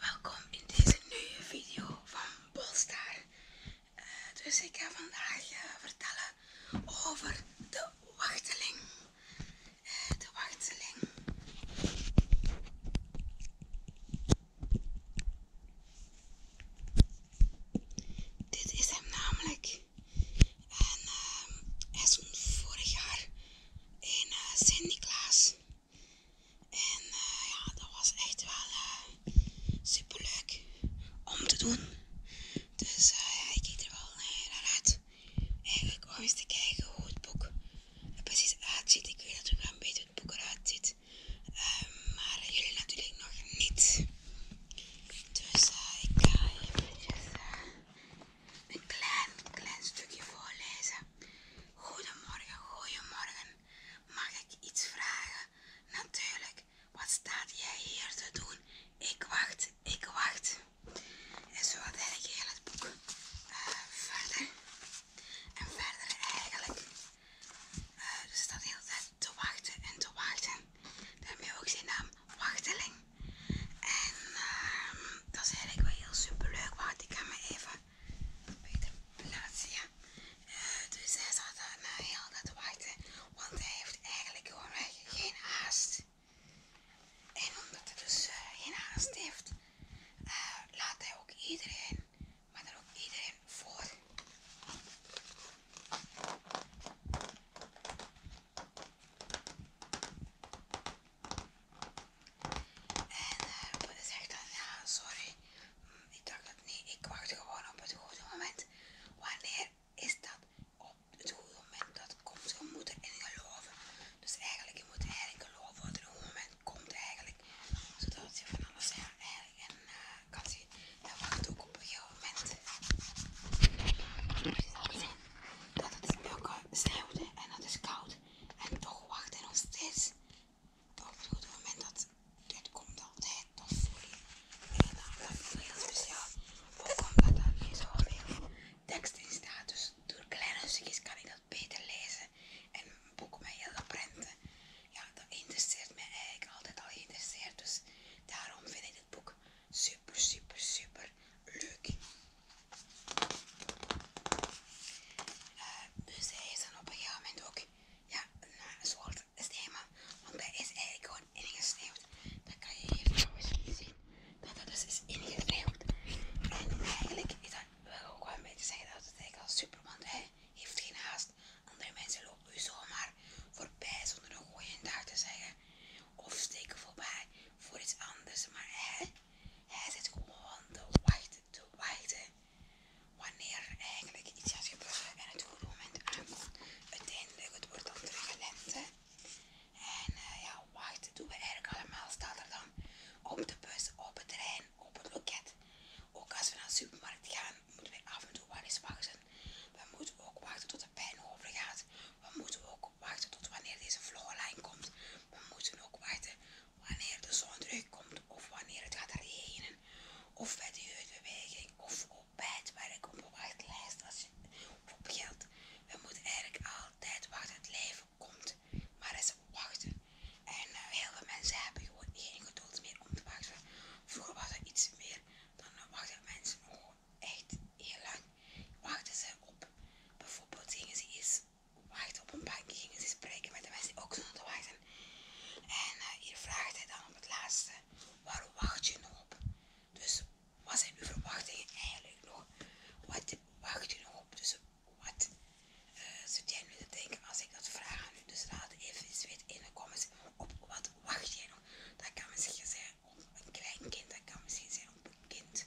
Welkom in deze nieuwe video van Bolstar. Eh, dus ik ga vandaag eh, vertellen over de wachteling. Eh, de wachteling. Dit is hem namelijk. En ehm, hij is vorig jaar in uh, Sint-Niklaas. En eh, ja, dat was echt wel eh, super leuk om te doen. Dus eh, ik kijk er wel naar uit. Eigenlijk om eens te kijken hoe het boek er precies uitziet. Ik weet natuurlijk wel een beetje het boek eruit ziet. Ehm, maar jullie natuurlijk nog niet. Dus ik ga even een klein, klein stukje voorlezen. Goedemorgen, goedemorgen. Mag ik iets vragen? Natuurlijk. Wat staat jij hier te doen? Ik wacht, ik wacht. En zo had ik heel het boek eh, verder. En verder eigenlijk. Eh, er staat heel tijd te wachten en te wachten. heb je ook zijn naam wachteling. En ehm, dat is eigenlijk wel heel super leuk. want ik ga me even beter plaatsen. Eh, dus hij zat daar nou heel dat te wachten, want hij heeft eigenlijk gewoon geen haast. En omdat hij dus eh, geen haast heeft, eh, laat hij ook iedereen, maar dan ook iedereen voor. En zegt eh, dan, ja sorry, mm, ik dacht dat niet, ik wacht gewoon op het goede moment. Wanneer is dat op het goede moment? Dat komt, je moet erin geloven. Dus eigenlijk, je moet eigenlijk geloven dat er een moment komt eigenlijk. Zodat je van alles eigenlijk en eh, kan zien. En wacht ook op je moment dat het sneeuwde en dat is koud. En toch wacht hij nog steeds op het moment dat dit komt altijd. Dat voor je. En dat heel speciaal. Ook omdat daar niet zoveel tekst in staat. Dus door kleine stukjes kan ik dat beter lezen. En mijn boek met heel prenten. Ja, dat interesseert mij eigenlijk altijd al geïnteresseerd. Dus daarom vind ik het boek super, super, super leuk. Eh, dus hij is dan op een gegeven moment ook ja, een soort want hij is eigenlijk gewoon ingesneeuwd. Dan kan je hier trouwens zien dat dat dus is ingesneeuwd. En eigenlijk is dat, wil ook wel een beetje zeggen dat het eigenlijk al super, want hij heeft geen haast. Andere mensen lopen u zomaar voorbij zonder een dag te zeggen. Of steken voorbij voor iets anders. Maar hij, hij zit gewoon te wachten, te wachten. Wanneer er eigenlijk iets gaat gebeuren en het goede moment aankomt. Uiteindelijk, het wordt dan turbulent. En eh, ja, wachten doen we eigenlijk allemaal. Staat er dan op de bus, op het trein, op het loket. Ook als we naar de supermarkt gaan. We moeten we af en toe wel eens wachten. We moeten ook wachten tot de pijn overgaat, We moeten ook wachten tot wanneer deze vloggenlijn komt. We moeten ook wachten wanneer de zon terugkomt of wanneer het gaat regenen. Of bij de jeugdbeweging of op het werk of op wachtlijst als op geld. We moeten eigenlijk altijd wachten. Het leven komt, maar is wachten. En eh, heel veel mensen hebben gewoon geen geduld meer om te wachten. Vroeger was dat iets meer. Dan wachten mensen nog echt heel lang. Wachten ze op. Bijvoorbeeld gingen ze eens wachten op een bankje. Gingen ze spreken met de mensen die ook zonder wachten. En eh, hier vraagt hij dan op het laatste. waarom wacht je nog op? Dus wat zijn uw verwachtingen eigenlijk nog? Wat wacht je nog op? Dus wat eh, jij nu denken als ik dat vraag aan u. Dus laat even eens weet in de comments op wat wacht jij nog. Dat kan misschien zijn op een kleinkind, dat kan misschien zijn op een kind,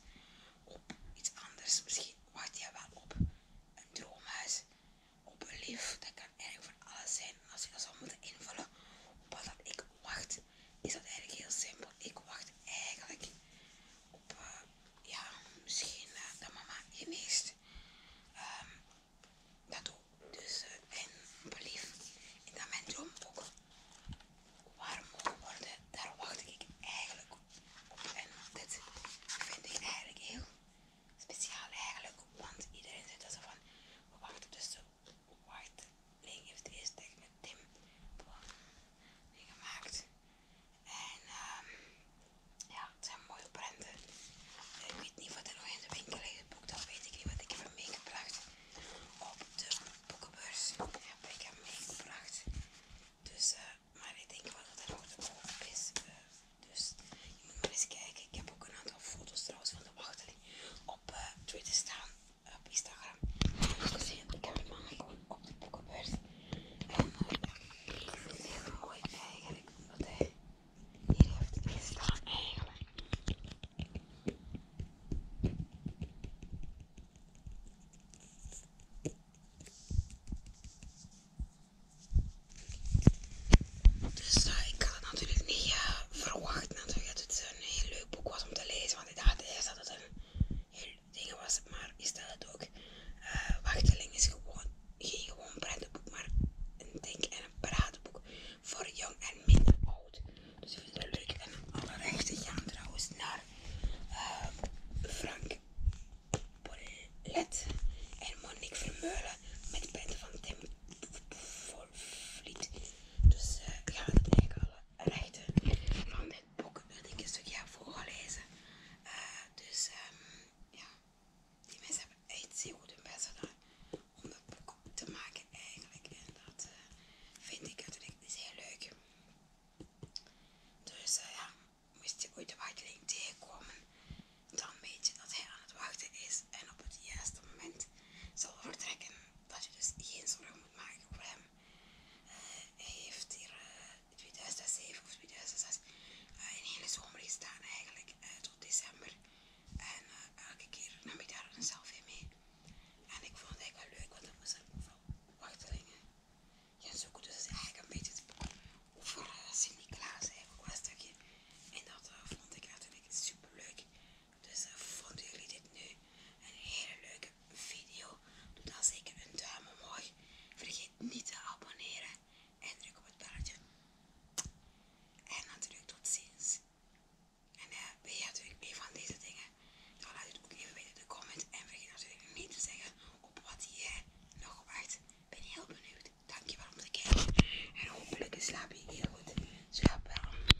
op iets anders. Misschien wacht jij wel op een droomhuis, op een lief. Dat kan eigenlijk voor alles zijn. als je dat zou moeten invullen op wat ik wacht, is dat eigenlijk heel simpel. Ik wacht eigenlijk op eh, ja, misschien eh, dat mama geneest. Um, ehm, dat ook. Dus, uh, en belief dat mijn droom ook warm mogen worden, daar wacht ik eigenlijk op. En dit vind ik eigenlijk heel speciaal eigenlijk, want iedereen zegt dat ze van, we wachten dus de white heeft eerst echt met Tim eh, gemaakt. En ehm ja, het zijn mooie prenten. Ik weet niet wat er nog in de winkel ligt. Boek, dat weet ik niet, want ik heb hem meegebracht op de boekenbeurs. Heb ik hem meegebracht. Dus, eh, maar ik denk wel dat er nog te koop is. Eh, dus je moet maar eens kijken. Ik heb ook een aantal foto's trouwens van de wachteling op eh, Twitter staan, op Instagram. Dus ik heb hem aangekomen op de boekenbeurs. En mooi eigenlijk wat hij hier heeft gestaan eigenlijk. Dus eh, ik had het natuurlijk niet eh, verwacht natuurlijk dat het een heel leuk boek was om te lezen, want ik dacht eerst dat het een heel dingen was het maar, is dat het ook. Eh, Wachteling is gewoon, geen gewoon boek maar een denk- en een pratenboek voor jong en minder oud. Dus ik vind het leuk. En alle rechten gaan trouwens naar eh, Frank Bollet en Monique Vermeulen met de prenten van Tim Vliet Dus uh, gaan we gaan alle rechten van ik boek dat ik een stukje aan voorlezen. Eh, dus ehm, ja, die mensen hebben echt zeer goed hun best gedaan om dat boek te maken eigenlijk. En dat eh, vind ik natuurlijk heel leuk. Dus eh, ja, moest je ooit de wachtlijn tegenkomen, dan weet je dat hij aan het wachten is en op het juiste moment zal vertrekken dat je dus geen zorgen moet maken voor hem. Eh, hij heeft hier eh, in 2007 of 2006 eh, een hele zomer gestaan eigenlijk, tot december. En elke keer nam ik daar een selfie mee. En ik vond het eigenlijk wel leuk, want dat was ik vooral wachtelingen gaan zoeken. Dus eigenlijk een beetje over uh, Sint-Niklaas eigenlijk, wel een stukje. En dat vond ik natuurlijk super leuk. Dus eh, vonden jullie dit nu een hele leuke video? Doe dan zeker een duim omhoog. Vergeet niet te abonneren en druk op het belletje. En natuurlijk tot ziens. En uh, eh, ben je natuurlijk meer van deze dingen? Dan laat het ook even weten in de comments En vergeet natuurlijk niet te zeggen op wat jij nog wacht. ben heel benieuwd. Dankjewel om te kijken. En hopelijk slaap je heel goed. Slaap wel.